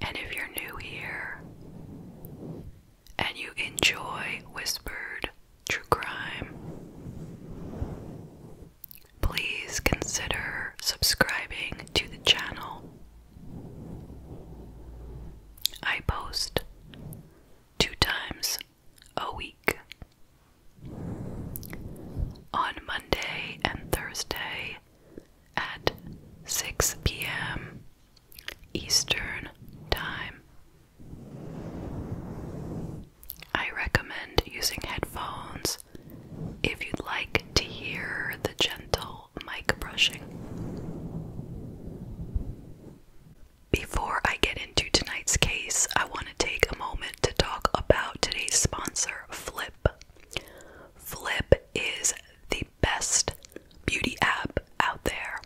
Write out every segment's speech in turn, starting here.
and if you're new here and you enjoy whispered true crime, please consider subscribing to the channel. I post two times a week on Monday and Thursday at 6 p.m. Eastern Time. I recommend using headphones if you'd like to hear the gentle mic brushing. Before I get into tonight's case, I want to take a moment to talk about today's sponsor, Flip. Flip is the best beauty app out there.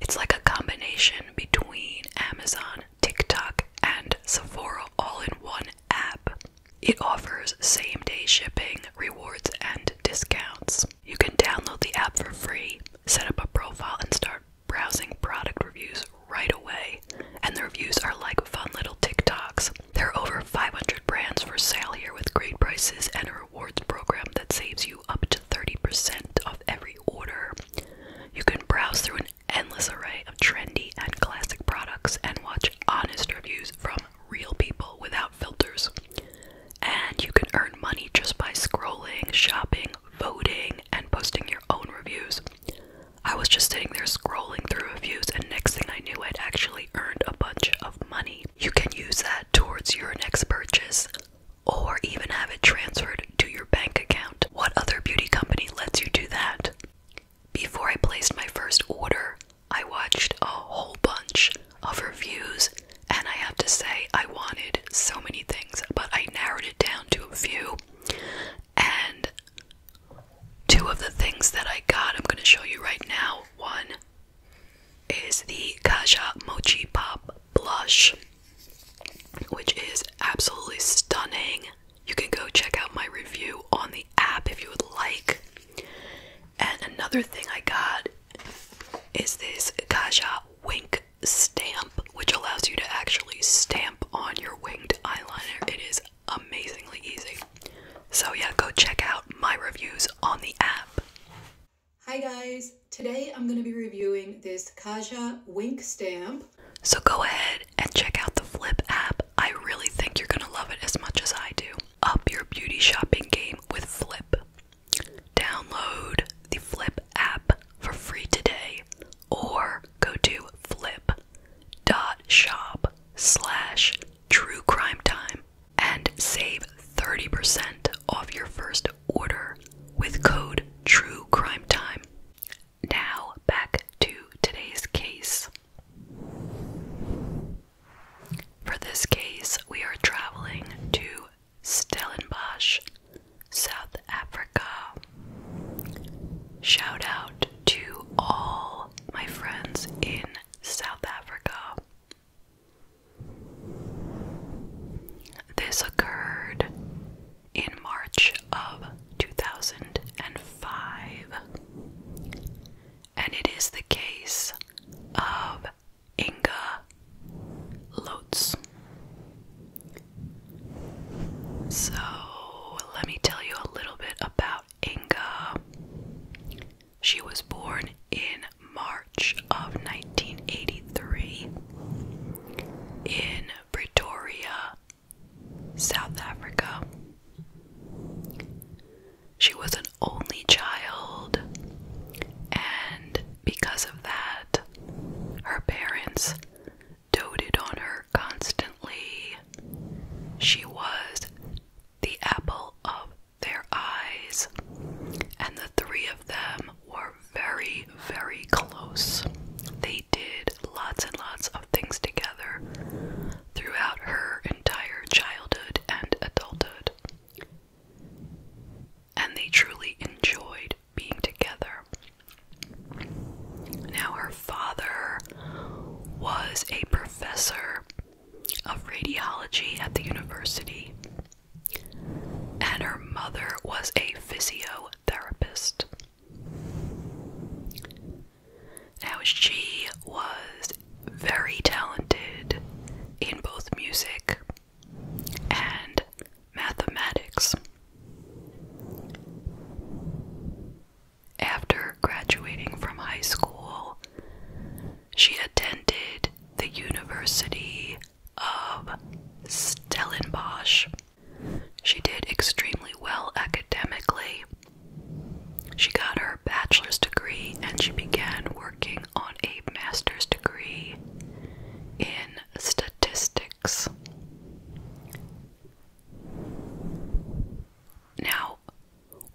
It's like a combination between Amazon, TikTok, and Sephora all in one app. It offers same day shipping, rewards, and discounts. You can download the app for free, set up a profile, and start browsing product reviews right away, and the reviews are like fun little TikToks. There are over 500 brands for sale here with great prices and a rewards program that saves you up to 30% of every order. You can browse through an endless array of trendy and classic products and watch honest reviews from real people without filters. And you can earn money just by scrolling, shopping, voting, and posting your own reviews. I was just sitting there scrolling through reviews, and next thing I knew, I'd actually earned a bunch of money. You can use that towards your next purchase or even have it transferred to your bank account. What other beauty company lets you do that? Before I placed my first order, I watched a whole bunch of reviews, and I have to say, I wanted so many things, but I narrowed it down to a few. And Two of the things that I got, I'm going to show you right now. One is the Kaja Mochi Pop Blush, which is absolutely stunning. You can go check out my review on the app if you would like. And another thing I got is this Kaja Wink Stamp, which allows you to actually stamp on your winged eyeliner. It is amazingly easy. So, yeah, go check out my reviews on the app. Hi, guys. Today I'm going to be reviewing this Kaja Wink stamp. So, go ahead and check out the Flip app. I really think you're going to love it as much as I do. Up your beauty shopping game with Flip. Download the Flip app for free today or go to flip dot shop slash true crime time and save 30% off your first order with code true crime time now back to today's case for this case we are traveling to stellenbosch south africa Shout out to all my friends in South Africa. This occurred in March of 2005, and it is the case of Inga Lotz. So, let me tell you a little bit about Inga. She was born in March of 1983 in Pretoria, South Africa. She was an only child, and because of that, her parents doted on her constantly. She was the apple of their eyes, and the three of them were very, very close. They did lots and lots of things together throughout her entire childhood and adulthood, and they truly enjoyed being together. Now, her father was a professor of radiology at the university, and her mother was a physiotherapist. Now, she was very talented in both music and mathematics. After graduating from high school, she attended the University of Stellenbosch. She did extremely well academically. She got her bachelor's degree and she began working on a master's degree in statistics. Now,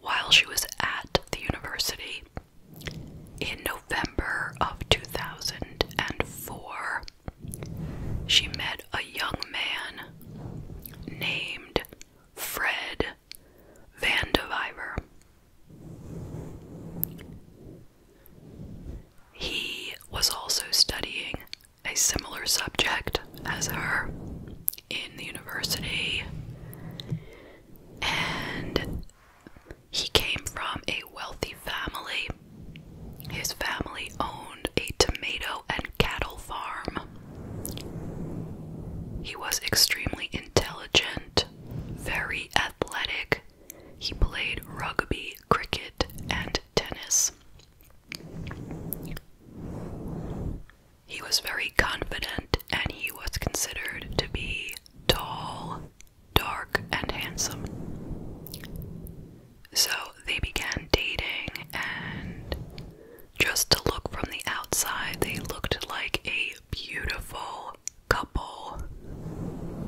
while she was at the university in November of 2004, she met a young man named Fred Vandeviver. He was also studying a similar subject as her in the university, and he came from a wealthy family. His family owned a tomato and cattle farm. He was extremely intelligent, very athletic. He played rugby cricket, and tennis. He was very confident and he was considered to be tall, dark, and handsome. So they began dating, and just to look from the outside, they looked like a beautiful couple.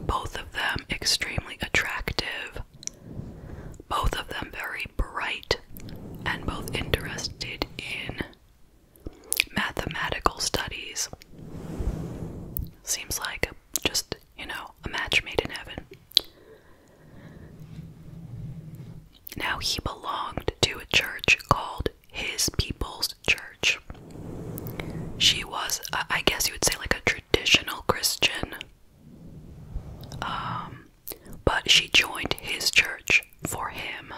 Both of them extremely attractive, both of them very bright and both interested in mathematical studies. Seems like just, you know, a match made in heaven. Now he belonged to a church called His People's Church. She was, I guess you would say, like a traditional Christian um, but she joined his church for him.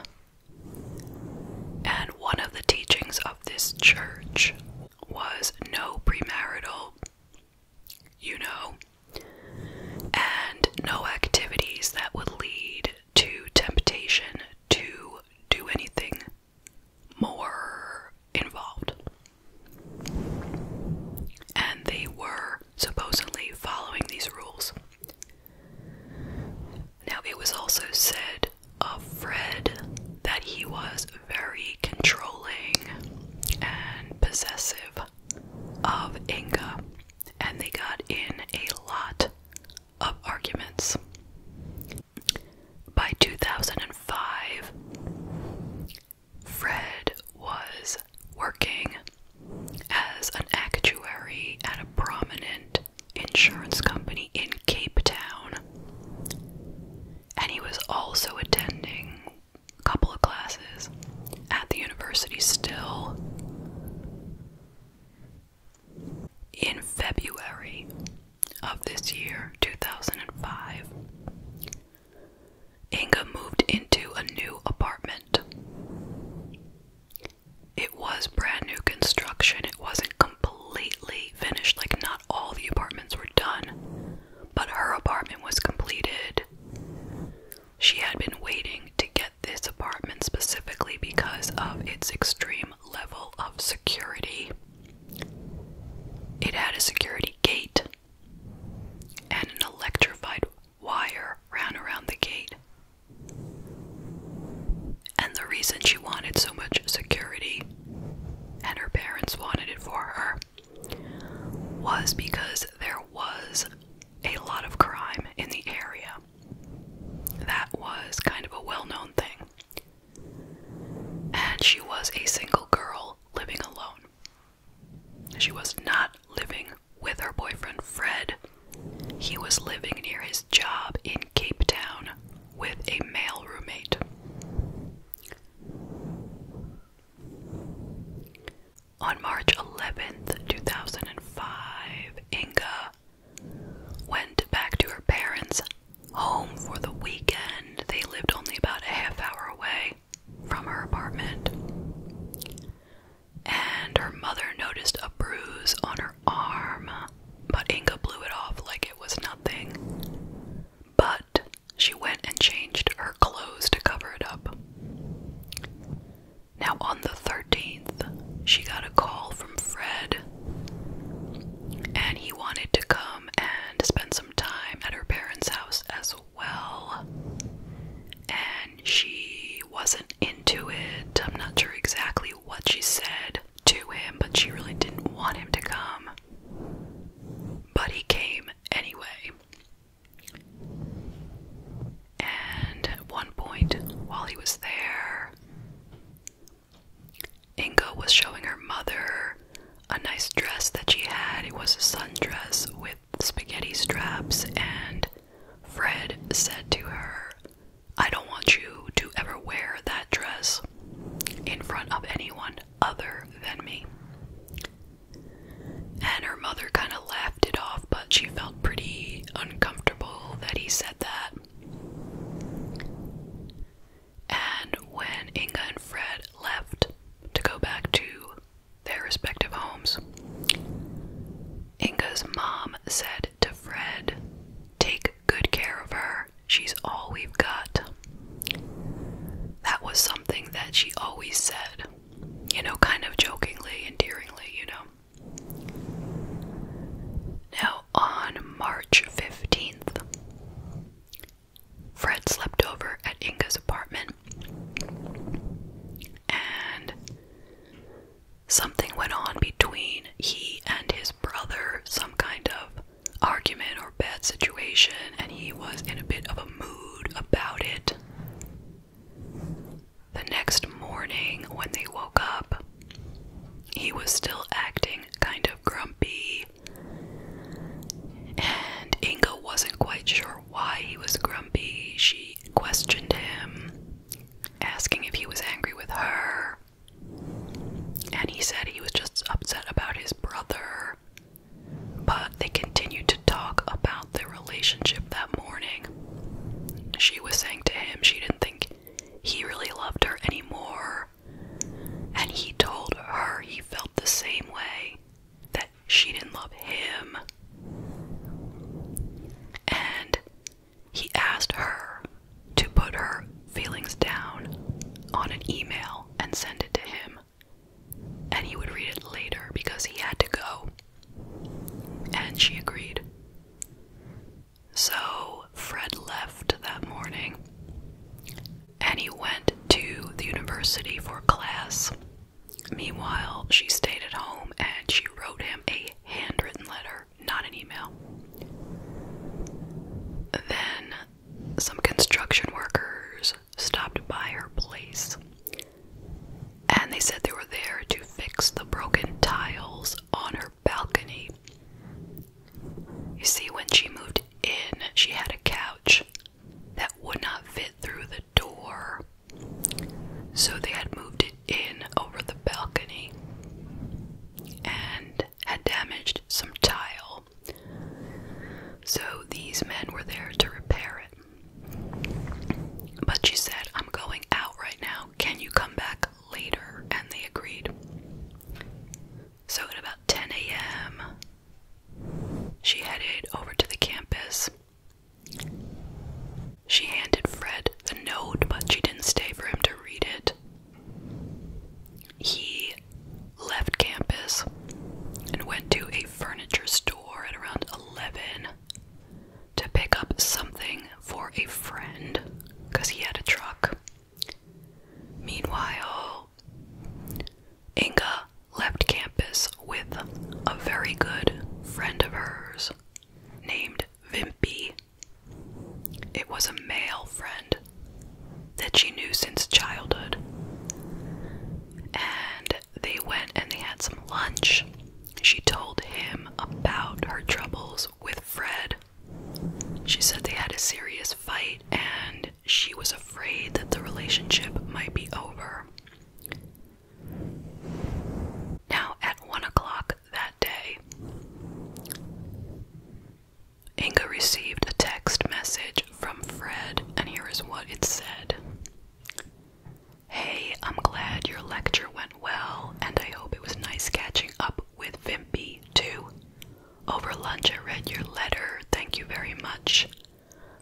And one of the teachings of this church was no premarital, you know, and no activities that would lead to temptation to do anything more involved. And they were supposedly following these rules. Now, it was also said of Fred that he was very controlling and possessive of Inga, and they got in a lot of arguments. By 2005, Fred was working as an actuary at a prominent insurance company in Cape Town. And he was also attending a couple of classes at the university still. In February of this year, 2005, Inga moved into a new apartment. It was brand new construction. It wasn't completely finished, like, not all the apartments were done, but her apartment was completed. She had been waiting to get this apartment specifically because of its extreme level of security. It had a security gate and an electrified wire ran around the gate. And the reason she wanted so much security and her parents wanted it for her was because there was a lot of crime in the area. That was kind of a well known thing. And she was a single girl living alone. She was not living with her boyfriend Fred. He was living near his job in Cape Town with a male roommate. On March 11th, 2005, Inga went back to her parents' home for the weekend. They lived only about a half hour away from her apartment. And her mother noticed a bruise on her arm, but Inga blew it off like it was nothing. But she went and changed her clothes to cover it up. Now, on the 13th, she got a call from Fred, and he wanted to come and and spend some time at her parents' house as well. And she wasn't into it. I'm not sure exactly what she said to him, but she really didn't want him to come. But he came anyway. And at one point, while he was there, Inga was showing her mother a nice dress that she had. It was a sundress with spaghetti straps, and Fred said to her, I don't want you to ever wear that dress in front of anyone other than me. And her mother kind of laughed it off, but she felt pretty uncomfortable that he said that. And when Inga and Fred left to go back to their respective homes, Inga's mom said to Fred, Take good care of her. She's all we've got. That was something that she always said, you know, kind of jokingly, endearingly, you know. Now, on March 15th, Fred slept over at Inga's apartment, and something went on between he and his brother some kind of argument or bad situation, and he was in a bit of a mood about it. The next morning, when they woke up, he was still acting kind of grumpy and Inga wasn't quite sure why he was grumpy. She questioned him, asking if he was angry with her. And he said he was just upset about his brother. But they continued to talk about their relationship that morning. She was saying to him she didn't think he really loved her anymore and he told her he felt the same way that she didn't love him. And he asked her to put her feelings down on an email and send it to him. And he would read it later because he had to go. And she agreed. So Fred left that morning and he went to the university for class. Meanwhile, she stayed at home and she wrote him a handwritten letter, not an email. Then, some construction workers stopped by her place and they said they were there to fix the broken tiles on her balcony. You see, when she moved in, she had a couch that would not fit through the door. So they had moved it in over the balcony and had damaged some tile. So these men were there to repair it. But she said, I'm going out right now. Can you come back later? And they agreed. So at about 10 a.m., she headed over to the campus. She handed Fred the note, but she didn't stay for him to read it. He left campus and went to a furniture store at around 11 to pick up something for a friend because he had a truck. Meanwhile, Inga left campus with a very good friend of hers named Vimpy. It was a male friend that she knew since childhood. And they went and they had some lunch. She told him about her troubles with Fred. She said they had a serious fight and she was afraid that the relationship might be over. Now, at one o'clock that day, Inga received a text message from Fred, and here is what it said Hey, I'm glad your lecture went well, and I hope it was nice catching up with Vimpy, too. Over lunch, I read your letter. Thank you very much.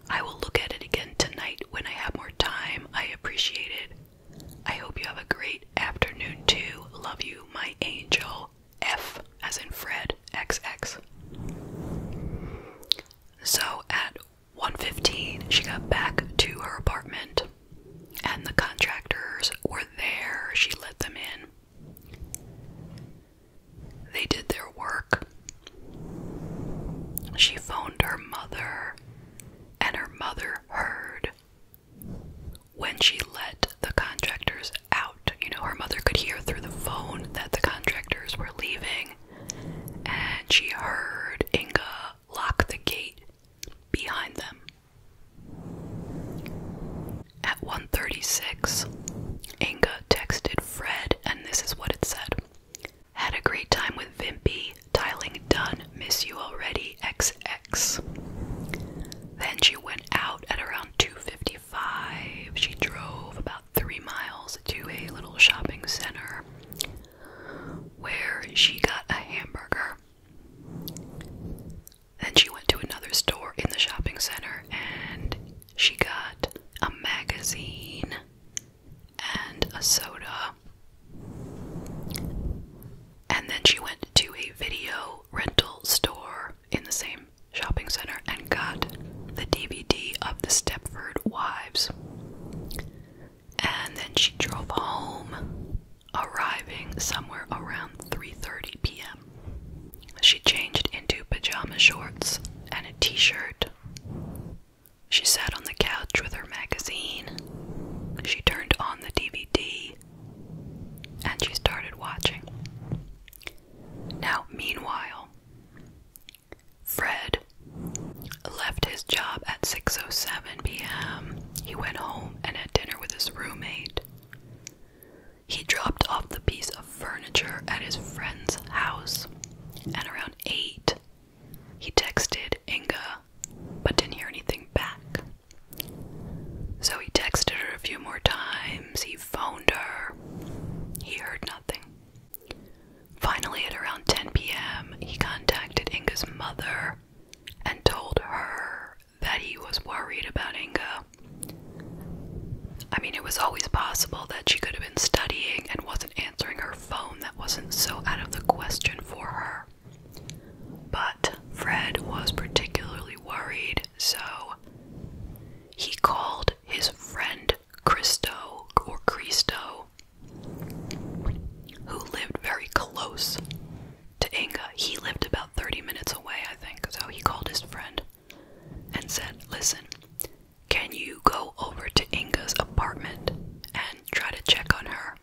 I will look at it again tonight when I have more time. I appreciate it. I hope you have a great afternoon, too. Love you, my angel. F as in Fred X X. So at 1:15 she got back to her apartment and the contractors were there. She let them in. They did their work. She phoned her mother, and her mother heard. When she let the contractors out, you know, her mother could hear through the phone that the contractors were leaving, and she heard Inga lock the gate behind them. At 1:36, Inga texted Fred, and this is what it said: "Had a great time with Vimpy. Tiling done. Miss you already. XX." Then she went out at around 2:55. She drove about three miles to a little shopping center where she got a hamburger. Then she went to another store in the shopping center and she got a magazine and a soda. And then she went to a video rental store in the same shopping center and got the DVD of The Stepford Wives. And then she drove home, arriving somewhere around 3:30 p.m. She changed into pajama shorts and a t shirt. She sat on the couch with her magazine. She turned on the DVD and she started watching. Now, meanwhile, Fred left his job at 6:07 p.m. He went home and had dinner with his roommate. He dropped off the piece of furniture at his friend's house, and around 8, he texted Inga but didn't hear anything back. So he texted her a few more times, he phoned her, he heard nothing. Finally, at around 10 p.m., he contacted Inga's mother and told her that he was worried about Inga. I mean, it was always possible that she could have been studying and wasn't answering her phone. That wasn't so out of the question for her. But Fred was particularly worried, so he called his friend Christo or Cristo, who lived very close to Inga. He lived about 30 minutes away, I think, so he called his friend and said, Listen, can you go over to Inga's apartment and try to check on her?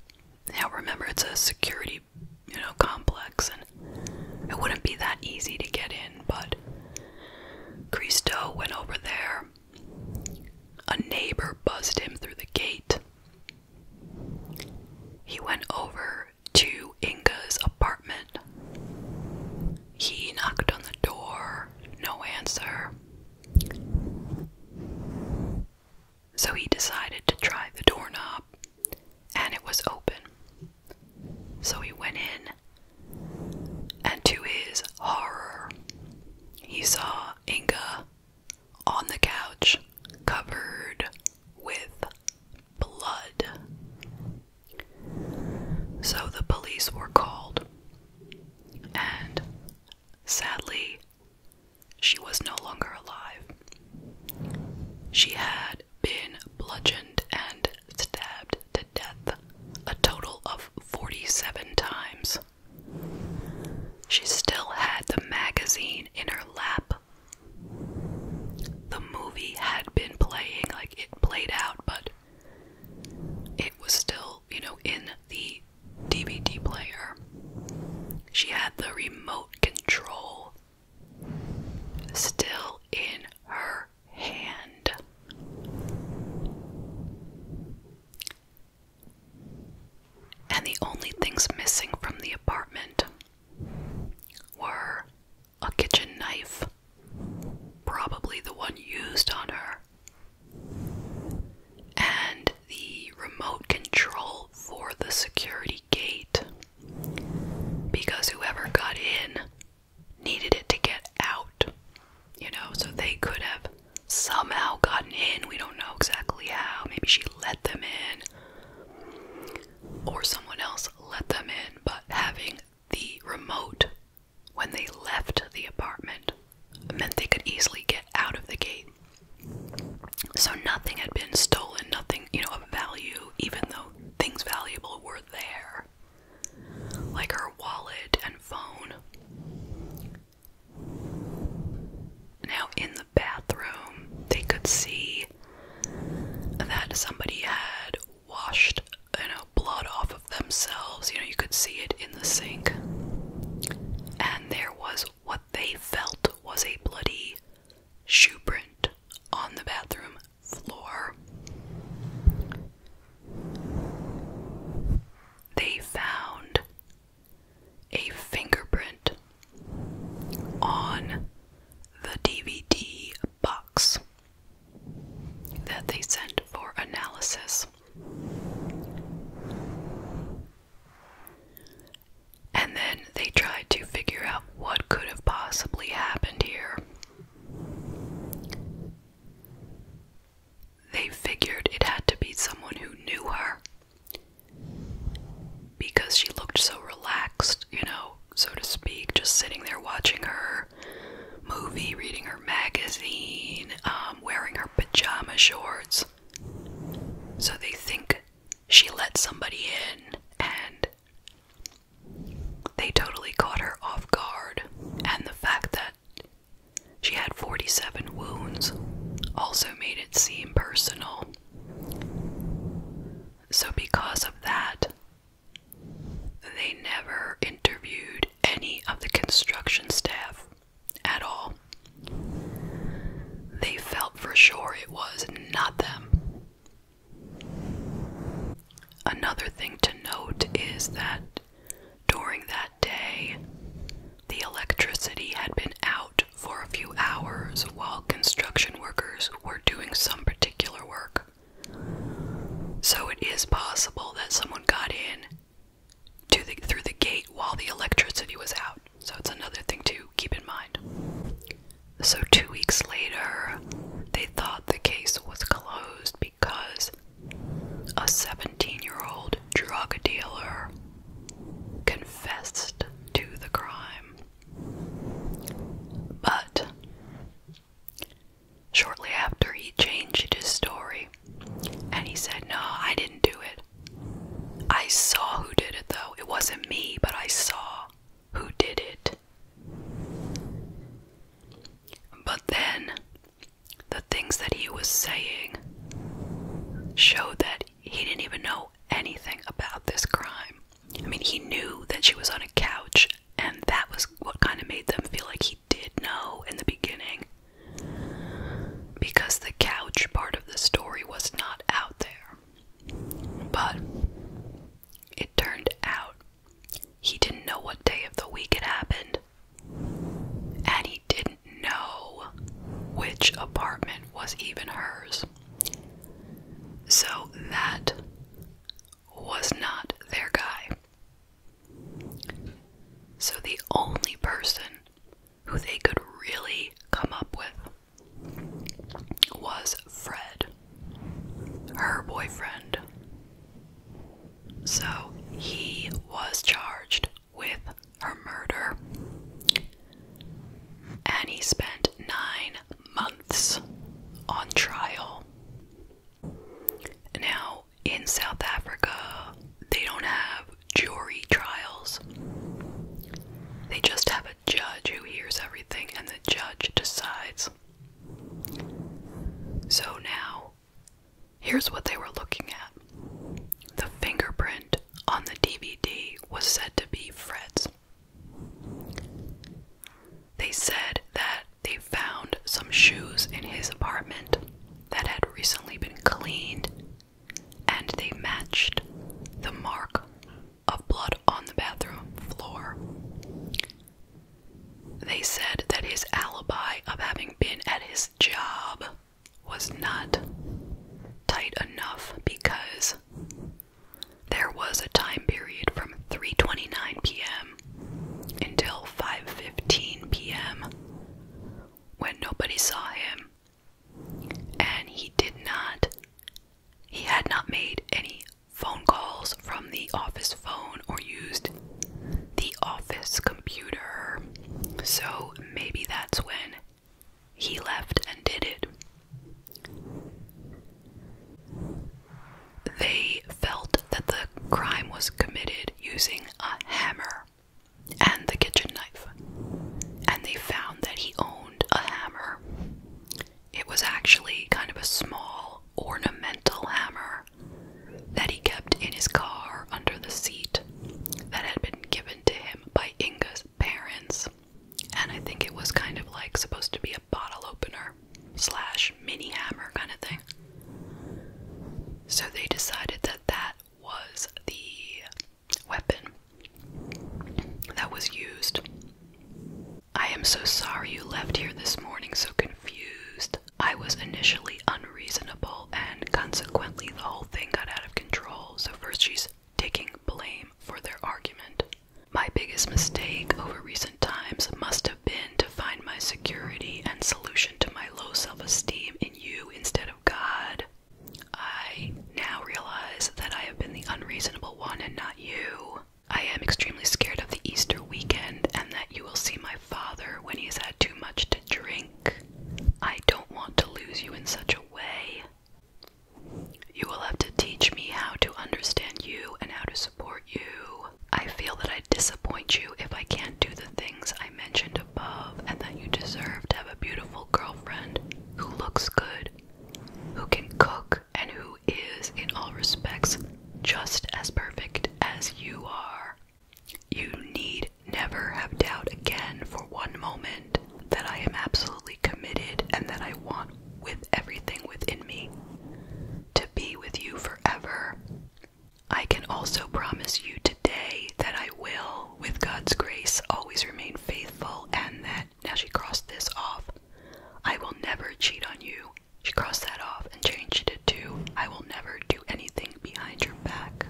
Now remember, it's a security, you know, complex, and it wouldn't be that easy to get in, but Cristo went over there. A neighbor buzzed him through the gate. He went over to Inga's apartment. He knocked on the door, no answer. So he decided to try the doorknob, and it was open. So he went in, and to his horror, he saw Inga on the couch, covered with blood. So the police were called, and sadly, she was no longer alive. She had been bludgeoned and stabbed to death a total of 47 times. She still had the magazine in her lap the movie had been playing, like it played out, but it was still, you know, in the DVD player. She had the remote control still in her hand. And the only things missing from the apartment were a kitchen knife, probably the one used on her, and the remote control for the security gate because whoever got in needed it to get out, you know, so they could have somehow gotten in. We don't know exactly how. Maybe she let them in or someone else let them in, but having the remote when they left the apartment meant they could easily get out of the gate. So nothing had been stolen, nothing, you know, of value, even though things valuable were there. Like her wallet and phone. Now, in the bathroom, they could see that somebody had washed you know blood off of themselves you know you could see it in the sink and there was what they felt was a bloody shoe print on the bathroom floor they found a fingerprint on the DVD box that they sent for analysis. And then they tried to figure out what could have possibly happened here. They figured it had to be someone who knew her because she looked so relaxed, you know, so to speak, just sitting there watching her movie, reading her magazine, um, wearing her pajama shorts. So they think she let somebody in and they totally caught her off guard. And the fact that she had 47 wounds also made it seem personal. So, because of that, they never interviewed any of the construction staff at all. They felt for sure it was not them. Another thing to note is that during that day, the electricity had been out for a few hours while construction workers were doing some particular work. So it is possible that someone got in through the gate while the electricity was out. So it's another thing to keep in mind. So, two weeks later, they thought the case was closed because a 17 year old drug dealer confessed to the crime. But shortly after, he changed his story and he said, No, I didn't do it. I saw who did it though. It wasn't me, but I saw who did it. But then the things that he was saying showed that he didn't even know anything about this crime. I mean, he knew that she was on a couch, and that was what kind of made them feel like he did know in the beginning. Because the couch part of the story was not out there. But it turned out he didn't know what day of the week it happened. And he didn't know which apartment was even hers. So that was not their guy. So the only person who they could really come up with was Fred, her boyfriend. So he was charged with her murder and he spent nine months on trial. Now, in South Africa, they don't have jury trials, they just have a judge who hears everything, and the judge decides. So now, here's what they were looking at the fingerprint on the DVD was said to be Fred's. They said that they found some shoes in his apartment that had recently been cleaned and they matched the mark of blood on the bathroom floor. They said that his alibi of having been at his job was not tight enough because there was a time period from 3:29 p.m. until 5:15 p.m. when nobody saw him. And he did not he had not made any phone calls from the office phone or used the office computer. So maybe that's when he left and did it. They felt that the crime was committed using a hammer and the kitchen knife, and they found that he owned a hammer. It was actually kind of a small ornamental hammer that he kept in his car under the seat that had been given to him by Inga's parents and I think it was kind of like supposed to be a bottle opener slash mini hammer kind of thing. So they decided that that was the weapon that was used. I am so sorry you left here this morning so confused. I was initially unreasonable, and consequently, the whole thing got out of control. So, first, she's taking blame for their argument. My biggest mistake over recent times must have been to find my security and solution to my low self esteem in you instead of God. I now realize that I have been the unreasonable one and not you. I am extremely scared of the Easter weekend and that you will see my father when he has had too much to drink. I don't want to lose you in such a way. You will have to teach me how to understand you and how to support you. I feel that I disappoint you if I can't do the things I mentioned above, and that you deserve to have a beautiful girlfriend who looks good, who can cook, and who is, in all respects, just as perfect as you are. You need never have doubt again for one moment that I am absolutely committed and that I want with everything within me to be with you forever. I can also promise you today that I will, with God's grace, always remain faithful and that, now she crossed this off, I will never cheat on you. She crossed that off and changed it to, I will never do anything behind your back.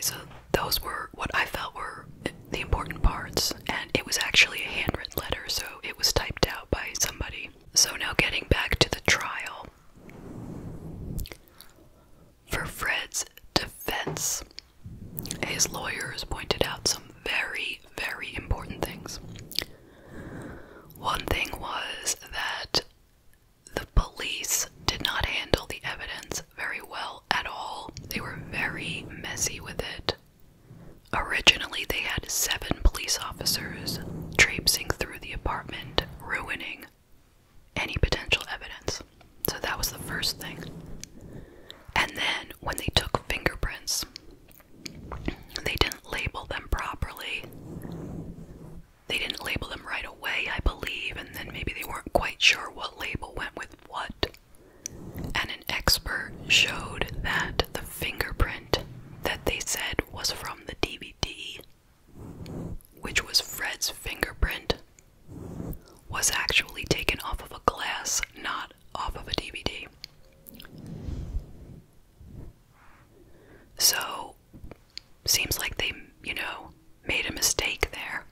So those were what I felt were the important parts, and it was actually a handwritten letter, so it was typed out by somebody. So now getting back to the trial. For Fred's defense, his lawyers pointed out some very, very important things. One thing was that the police did not handle the evidence very well at all. They were very messy with it. Originally, they had seven police officers traipsing through the apartment, ruining any potential evidence. So that was the first thing. And then, when they took fingerprints, they didn't label them properly. They didn't label them right away, I believe, and then maybe they weren't quite sure what label went with what and an expert showed that the fingerprint that they said was from the DVD, which was Fred's fingerprint, was actually taken off of a glass, not off of a DVD. So, seems like they, you know, made a mistake there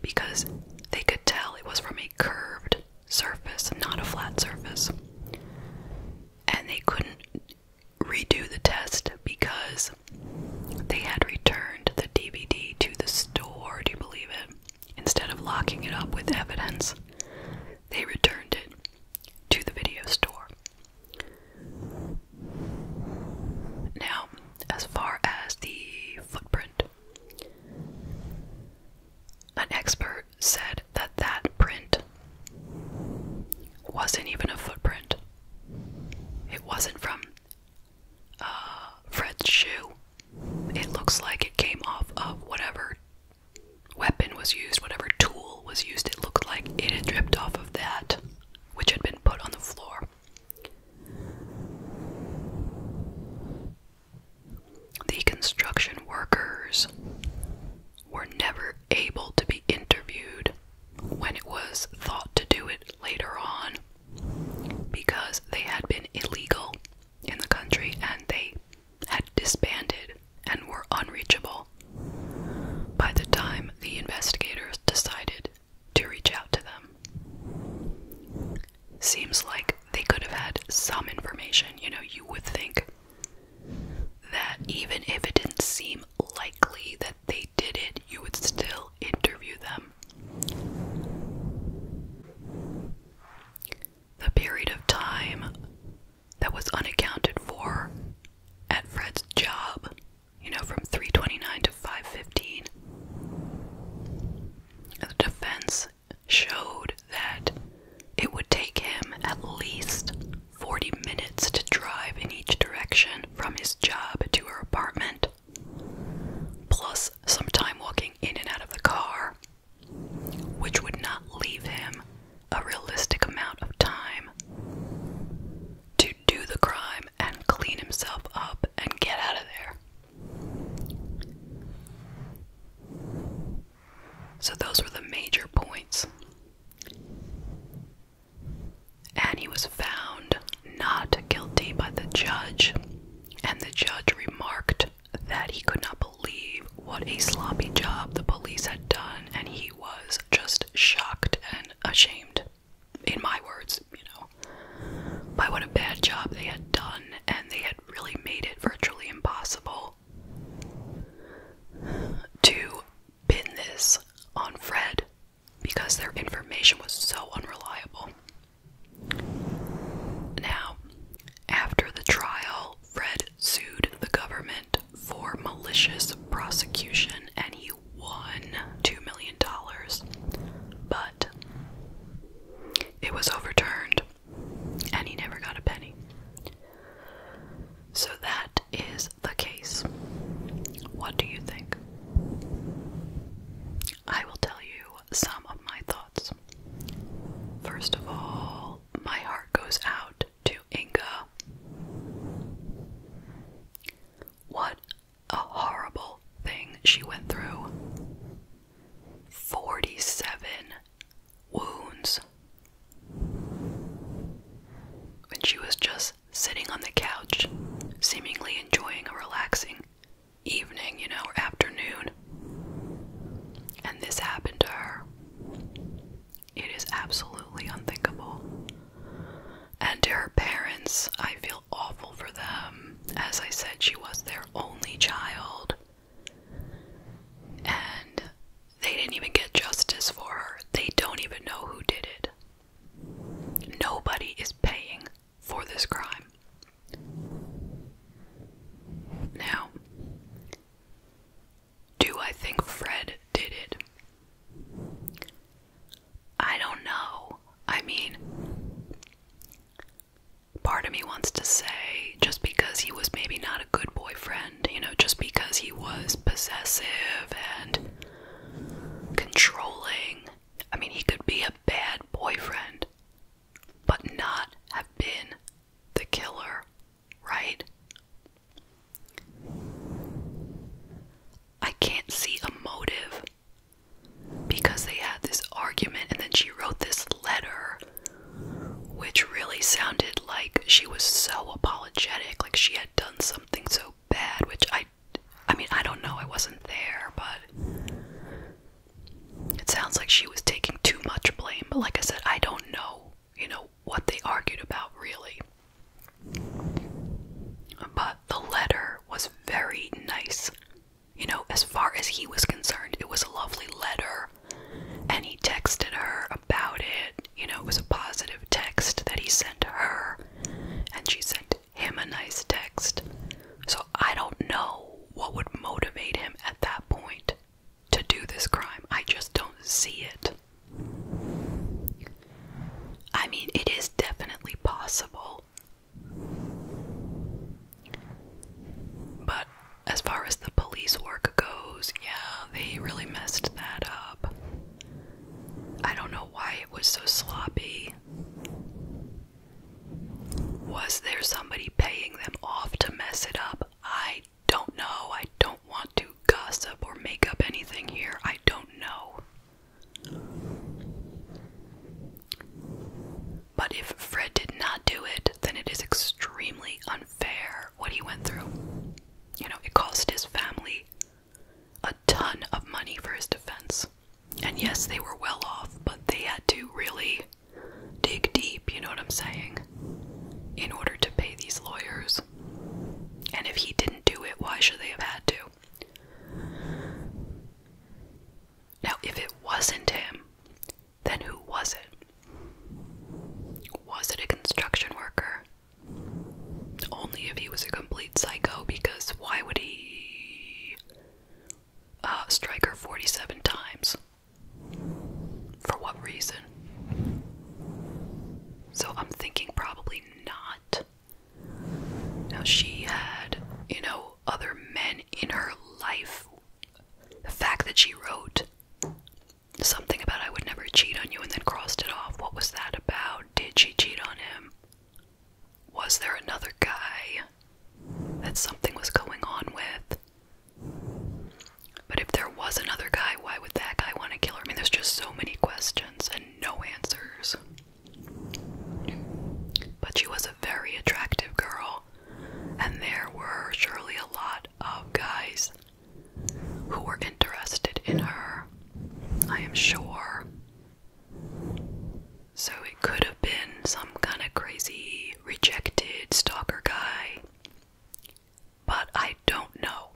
because they could tell it was from a curved surface, not a flat surface. And they couldn't redo the test because they had returned the DVD to the store, do you believe it? Instead of locking it up with evidence, they returned it to the video store. Now, as far as the footprint an expert said that that print wasn't even a footprint. It wasn't from Fred's shoe. It looks like it came off of whatever weapon was used, whatever tool was used. It looked like it had dripped off of that, which had been put on the floor. The construction workers were never able to be interviewed when it was thought to do it later on because they had been illegal in the country and they had disbanded and were unreachable by the time the investigators decided to reach out to them. Seems like they could have had some information. You know, you would think that even if it didn't seem likely that they did it, you would still interview them. The period of time that was unaccounted for at Fred's job, you know, from 329 to 515, the defense showed that it would take him at least 40 minutes to drive in each direction from his job to her apartment, plus some time walking in and out of the car, which would not leave him a realistic amount of time to do the crime and clean himself up and get out of there. So those were the major points. And he was found not guilty by the judge, and the judge remarked that he could not believe what a sloppy job the police had done, and he was just shocked and ashamed. In my words, you know, by what a bad job they had done, and they had really made it virtually impossible to pin this on Fred because their information was so unreliable. Now, after the trial, Fred sued the government for malicious prosecution and he won $2 million. But it was overturned, and he never got a penny. So that is the case. What do you think? I will tell you some of my thoughts. First of all, my heart goes out to Inga. What a horrible thing she went through 47 wounds. When she was just sitting on the couch, seemingly enjoying a relaxing evening, you know, afternoon. And this happened to her. It is absolutely unthinkable. And to her parents, I feel awful for them. As I said, she was their only child. And they didn't even get justice for her. They don't even know who did it. Nobody is paying for this crime. Now, do I think Fred did it? I don't know. I mean, part of me wants to say just because he was maybe not a good boyfriend, you know, just because he was possessive and controlling. I mean, he could be a bad boyfriend, but not have been the killer, right? I can't see a motive because they had this argument, and then she wrote this letter, which really sounded like she was so apologetic, like she had done something so bad, which I, I mean, I don't know, I wasn't there, but it sounds like she was taking too much blame. But like I said, I don't know, you know, what they argued about really. But the letter was very nice. You know, as far as he was concerned, it was a lovely letter, and he texted her about it. You know, it was a positive text that he sent her, and she sent him a nice text. So I don't know what would motivate him at that point to do this crime. I just don't see it. I mean, it is definitely possible but as far as the police work goes, yeah, they really messed that up. I don't know why it was so sloppy. Was there somebody paying them off to mess it up? I don't know. I don't want to gossip or make up anything here. I don't know. But if Fred did not do it, then it is extremely unfair what he went through. You know, it cost his family a ton of money for his defense. And yes, they were well off, but they had to really dig deep, you know what I'm saying, in order to pay these lawyers. And if he didn't do it, why should they have had to? Now, if it wasn't him, then who was it? Was it a construction worker? Only if he was a complete psycho, because why would he uh, strike her 47 times? For what reason? So I'm thinking probably not. Now, she had, you know, other men in her life. The fact that she wrote something about I would never cheat on you and then crossed it off, what was that about? Did she cheat on him? Was there another guy that something was going on with? But if there was another guy, why would that guy want to kill her? I mean, there's just so many questions and no answers. But she was a very attractive girl, and there were surely a lot of guys who were interested in her, I am sure. So it could have been some kind of crazy, rejected stalker guy. But I don't know.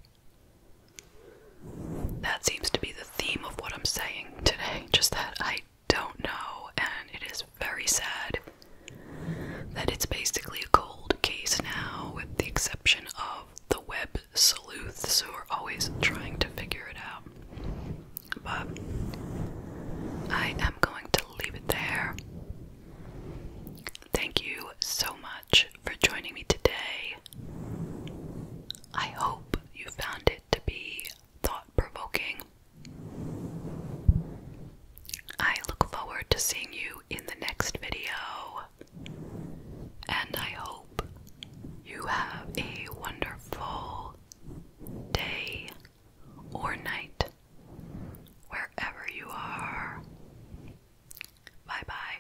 That seems to be the theme of what I'm saying today, just that I don't know, and it is very sad that it's basically a cold case now, with the exception of the web sleuths who are always trying to figure it out. But I am going to leave it there. Thank you so much for joining me today. I hope you found it to be thought provoking. I look forward to seeing you in the next video, and I hope you have a wonderful day or night wherever you are. Bye bye.